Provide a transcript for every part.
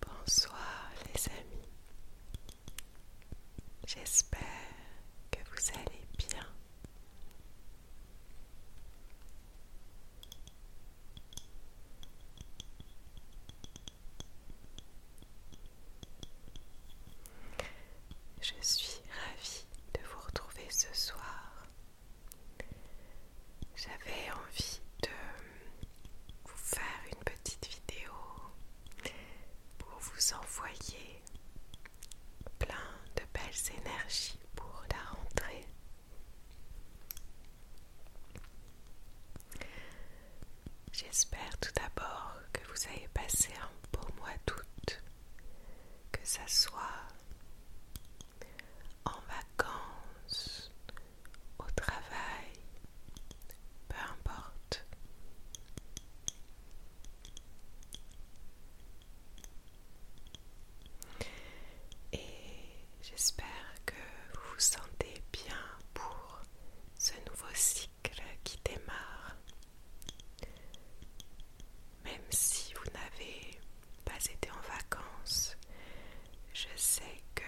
Bonsoir les amis. J'espère que vous allez bien. Je suis ravie de vous retrouver ce soir. J'avais envie de vous faire une petite vidéo pour vous envoyer plein de belles énergies pour la rentrée. J'espère tout d'abord que vous avez passé un beau mois d'août que ça soit en vacances, au travail, peu importe. Et j'espère que vous vous sentez bien pour ce nouveau cycle qui démarre. Même si vous n'avez pas été en vacances, je sais que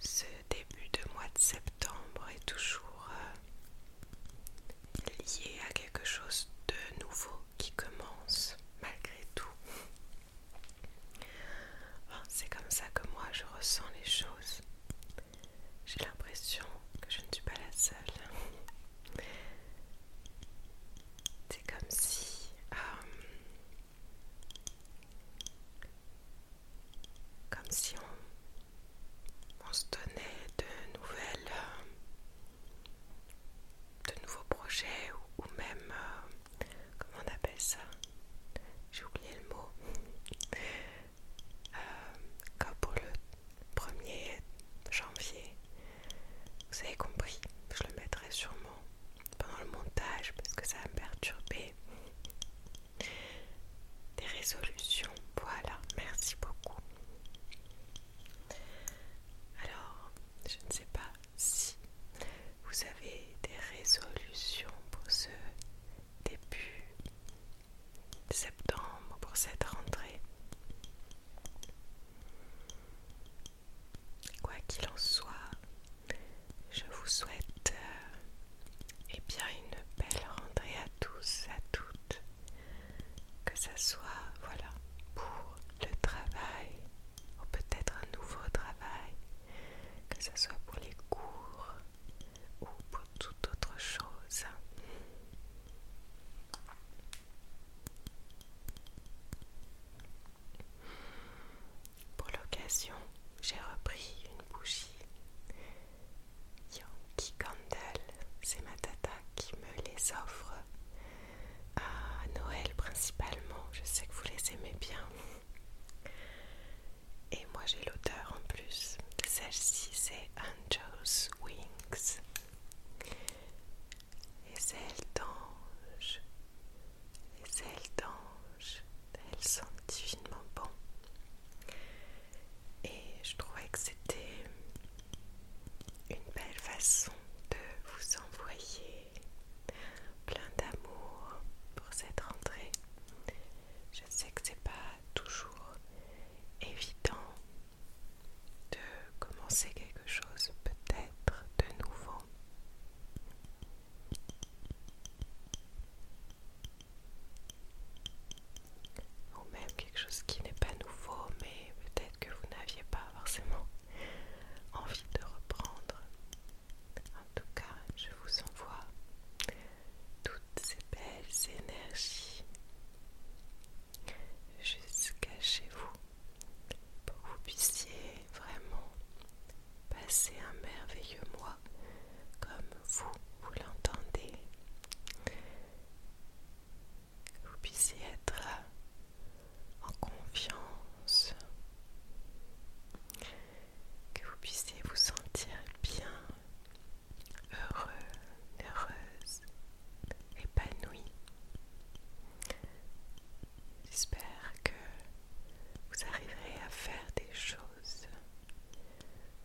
ce début de mois de septembre est toujours euh, lié à quelque chose de nouveau qui commence malgré tout. C'est comme ça que moi je ressens les choses. J'ai l'impression que je ne suis pas la seule. C'est comme si... Euh, comme si on, se donnait de nouvelles... Euh, de nouveaux projets ou, même... Euh, comment on appelle ça J'ai oublié le mot. Euh, comme pour le 1er janvier, vous avez compris, je le mettrai sûrement pendant le montage parce que ça va me perturber. Des résolutions, voilà, merci beaucoup. Alors, je ne sais pas si vous avez des résolutions pour ce début septembre pour cette rentrée. Quoi qu'il en soit, je vous souhaite et euh, eh bien une belle rentrée à tous, à toutes, que ce soit voilà pour le travail ou peut-être un nouveau travail, que ce soit pour les cours, ou pour toute autre chose. Pour l'occasion, j'ai repris une bougie Yankee Candle. C'est ma tata qui me les offre à Noël principalement. Je sais que vous les aimez bien. Et moi j'ai l'odeur en plus. Celle-ci c'est Angel's Wings. Les ailes d'ange, les ailes d'ange, elles sont divinement bon. Et je trouvais que c'était une belle façon de vous envoyer plein d'amour pour cette rentrée. Je sais que c'est pas toujours évident de commencer quelque chose peut-être de nouveau. Ou même quelque chose qui n'est pas nouveau, mais peut-être que vous n'aviez pas forcément envie de reprendre. En tout cas, je vous envoie toutes ces belles énergies jusqu'à chez vous pour que vous puissiez vraiment passer un merveilleux mois comme vous, vous l'entendez. Que vous puissiez être en confiance, que vous puissiez vous sentir bien heureux, heureuse, épanouie J'espère que vous arriverez à faire des choses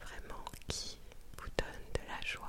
vraiment qui vous donnent de la joie.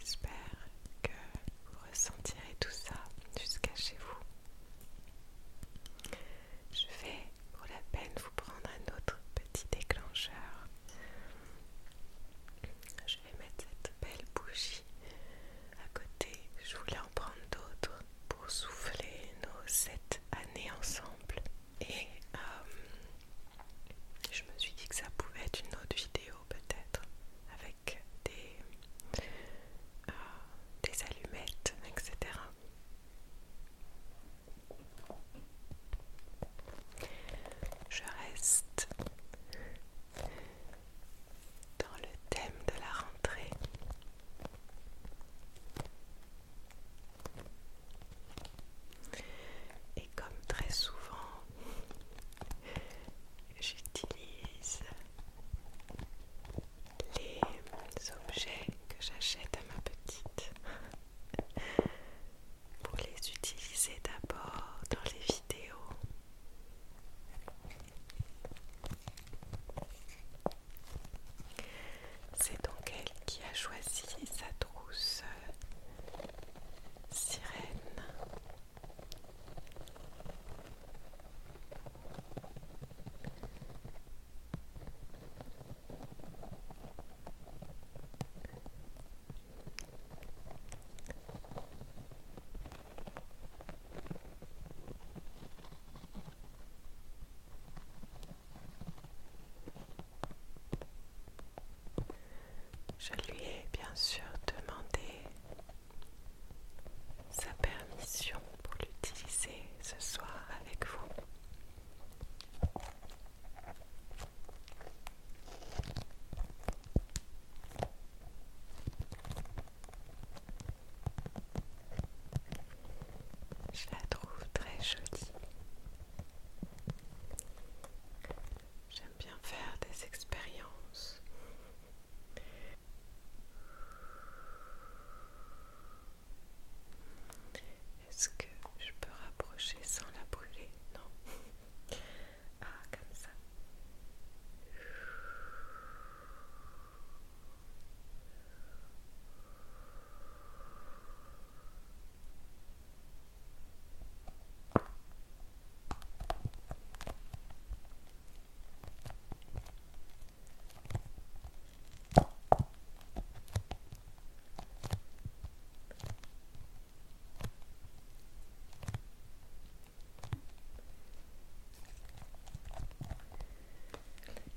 J'espère que vous ressentirez tout ça jusqu'à chez vous. Je vais pour la peine vous prendre un autre petit déclencheur. Je vais mettre cette belle bougie à côté. Je voulais en prendre d'autres pour souffler nos sept années ensemble. Et euh, je me suis dit que ça pouvait être une autre vidéo peut-être avec des, euh, allumettes, etc. Je reste dans le thème de la rentrée et comme très souvent, j'utilise les objets que j'achète à ma petite pour les utiliser d'abord dans les vidéos. C'est donc elle qui a choisi sa trousse euh, sirène. Je lui ai bien sûr demandé sa permission pour l'utiliser ce soir avec vous. Je la trouve très jolie. J'aime bien faire des expériences. Est-ce que je peux rapprocher sans la brûler Non. Ah, comme ça.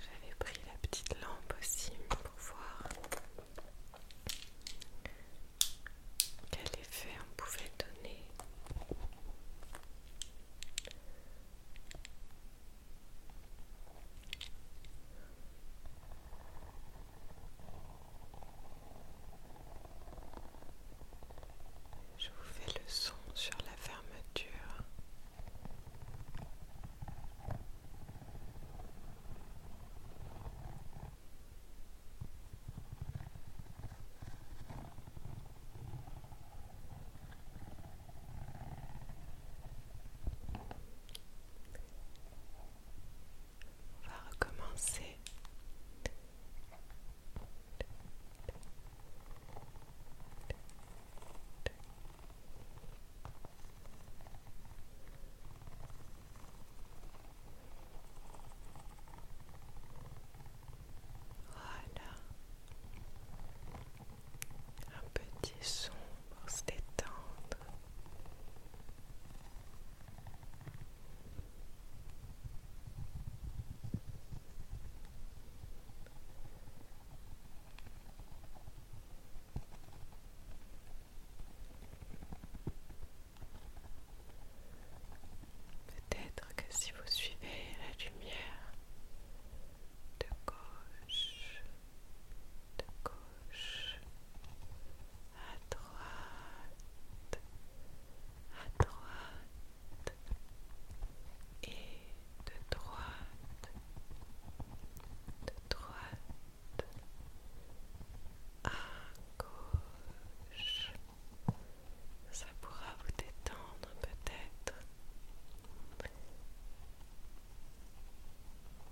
J'avais pris la petite lampe aussi pour voir quel effet on pouvait donner je vous fais le son sur la fermeture on va recommencer. Voilà. Un petit son pour se détendre. Peut-être que si vous suivez la lumière de gauche, de gauche à droite, à droite et de droite, de droite à gauche. Ça pourra vous détendre peut-être.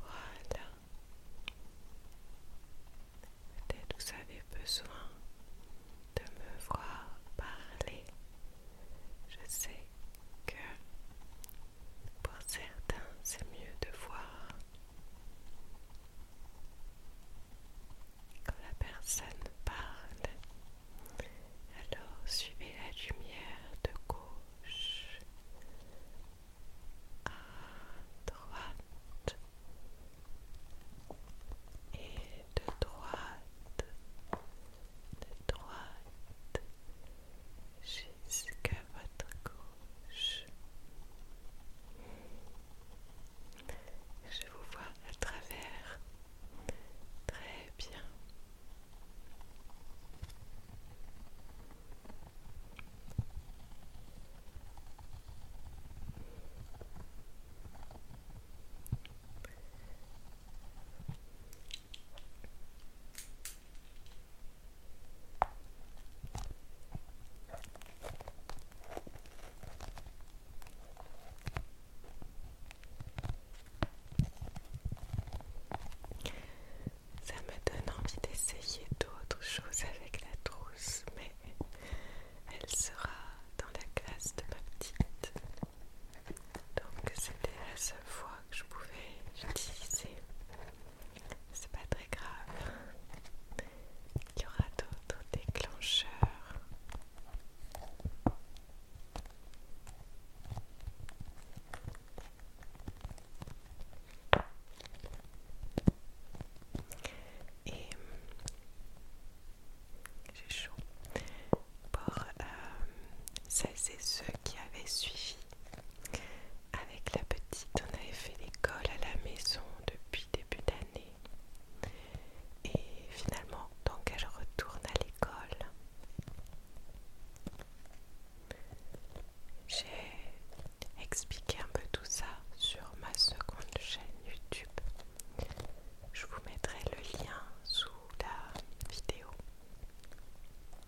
Voilà. Peut-être vous avez besoin de me voir parler. Je sais que pour certains c'est mieux de voir quand la personne parle, alors suivez la lumière de gauche à droite et de droite, de droite jusqu'à votre gauche. Je vous vois à travers. Très bien. Ça me donne envie d'essayer d'autres choses avec la trousse, mais elle sera dans la classe de ma petite. Donc c'était la seule fois que je pouvais l'utiliser c'est pas très grave. Il y aura d'autres déclencheurs. Et j'ai chaud pour euh, celles et ceux qui avaient suivi avec la petite, on avait fait l'école à la maison depuis début d'année. Et finalement, donc elle retourne à l'école. J'ai expliqué un peu tout ça sur ma seconde chaîne YouTube. Je vous mettrai le lien sous la vidéo.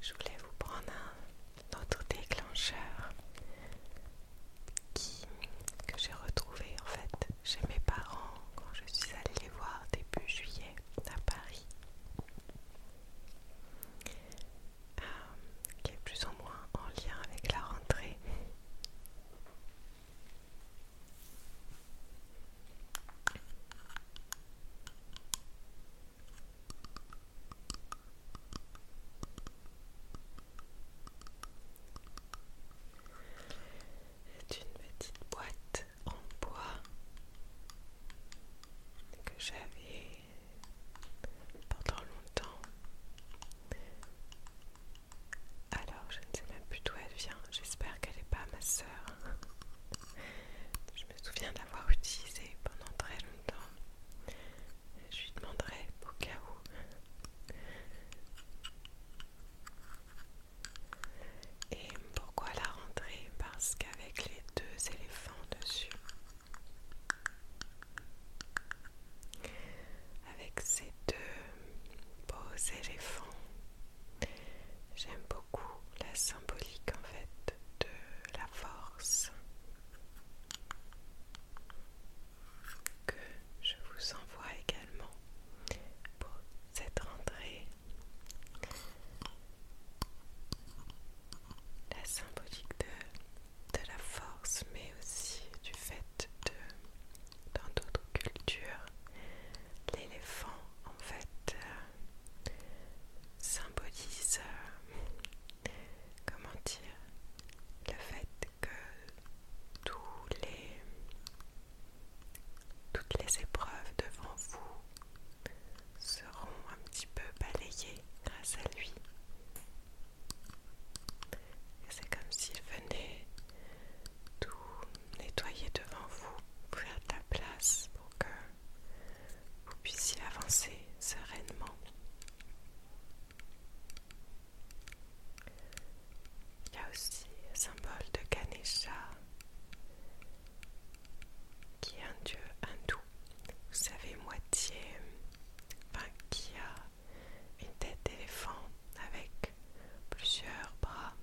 Je voulais vous prendre un autre déclencheur que j'ai retrouvé en fait chez mes parents quand je suis allée les voir début juillet à Paris. Euh, qui est plus ou moins en lien avec la rentrée. C'est une petite boîte en bois que j'avais pendant longtemps. Alors je ne sais même plus d'où elle vient. J'espère qu'elle n'est pas ma soeur. Je me souviens d'avoir utilisé pendant très longtemps. Je lui demanderai au cas où. Et pourquoi la rentrée Parce qu'avec les deux éléphants dessus, avec ces deux beaux éléphants J'aime beaucoup la symbolique en fait de la force que je vous envoie également pour cette rentrée. La symbolique de, de la force mais aussi du fait de dans d'autres cultures l'éléphant en fait euh, symbolise euh, comment dire le fait que tous les toutes les épreuves devant vous seront un petit peu balayées grâce à lui. C'est comme s'il venait tout nettoyer devant vous, vous faire ta place pour que vous puissiez avancer sereinement. Il y a aussi le symbole de Ganesha qui est un dieu hindou, vous savez, moitié, enfin qui a une tête d'éléphant avec plusieurs bras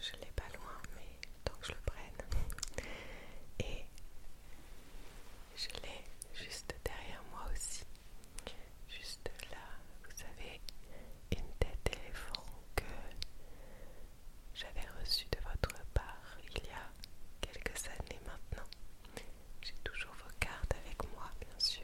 je l'ai pas loin, mais tant que je le prenne. Et je l'ai juste derrière moi aussi. Juste là, vous avez une tête d'éléphant que j'avais reçue de votre part il y a quelques années maintenant. J'ai toujours vos cartes avec moi, bien sûr.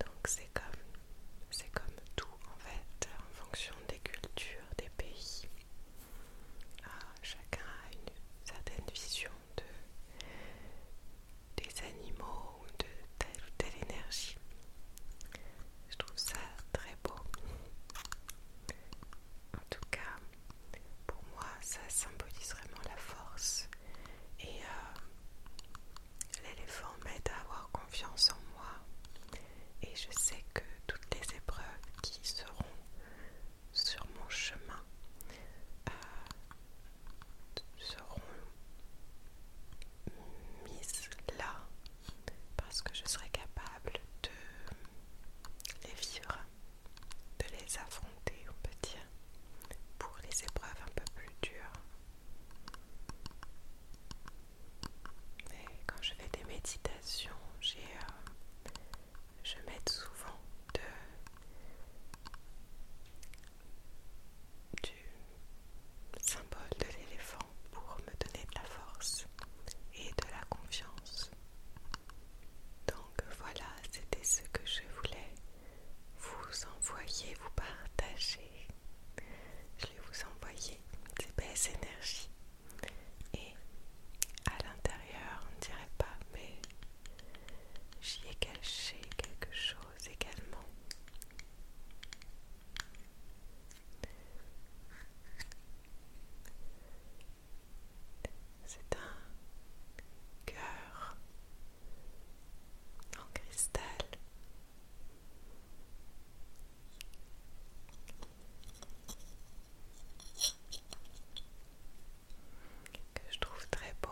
Donc c'est comme c'est comme tout en fait, en fonction des cultures, des pays. Ah, chacun a une certaine vision de des animaux ou de telle ou telle énergie. Je trouve ça très beau. En tout cas, pour moi, ça symbolise vraiment la force. Et euh, l'éléphant m'aide à avoir confiance en moi. Et je sais que toutes les épreuves qui seront sur mon chemin euh, seront mises là parce que je serai capable de les vivre, de les affronter, on peut dire, pour les épreuves un peu plus dures. Et quand je fais des méditations, euh, je m'aide souvent de, du symbole de l'éléphant pour me donner de la force et de la confiance. Donc voilà, c'était ce que je voulais vous envoyer, vous partager. Je vais vous envoyer des belles énergies. Et à l'intérieur, on ne dirait pas, mais j'y ai caché quelque chose également. C'est un cœur en cristal. Que je trouve très beau,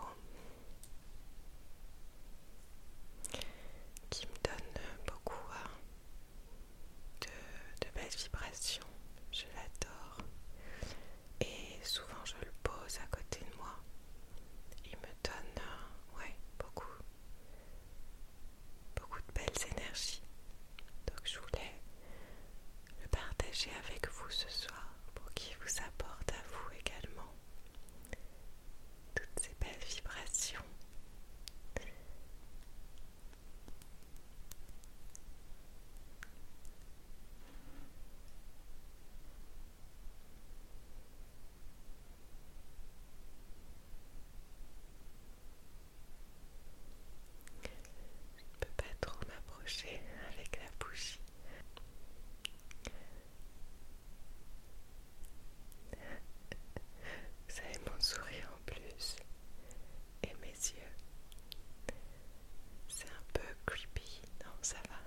qui me donne beaucoup de, belles vibrations, je l'adore. Et souvent je le pose à côté de moi. Il me donne euh, beaucoup, beaucoup de belles énergies. Donc je voulais le partager avec vous ce soir pour qu'il vous apporte à vous également toutes ces belles vibrations. Je ne peux pas trop m'approcher avec la bougie. Vous avez mon sourire en plus et mes yeux. C'est un peu creepy, non ça va.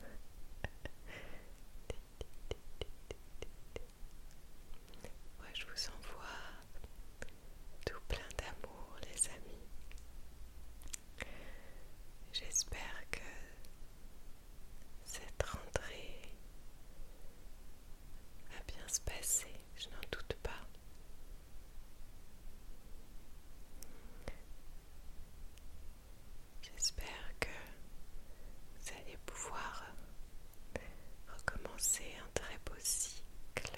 Moi ouais, je vous envoie tout plein d'amour les amis. J'espère que cette rentrée va bien se passer, je n'en doute pas. J'espère que vous allez pouvoir recommencer un très beau cycle.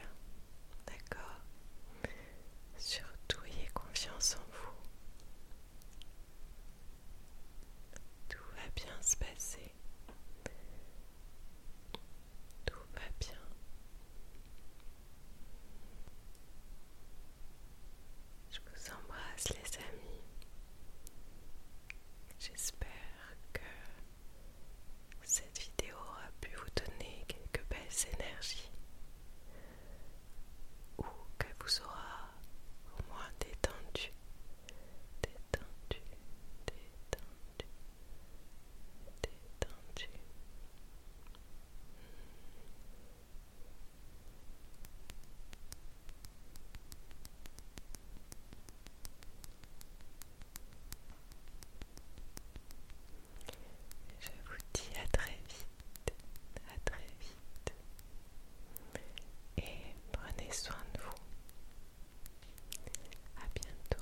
D'accord Surtout, ayez confiance en vous. Tout va bien se passer. Tout va bien. Je vous embrasse les amis. J'espère que cette vidéo aura pu vous donner quelques belles énergies ou qu'elle vous aura au moins détendu détendu, détendu, détendu. Je vous dis à très vite, à très vite. Et prenez soin de vous. À bientôt.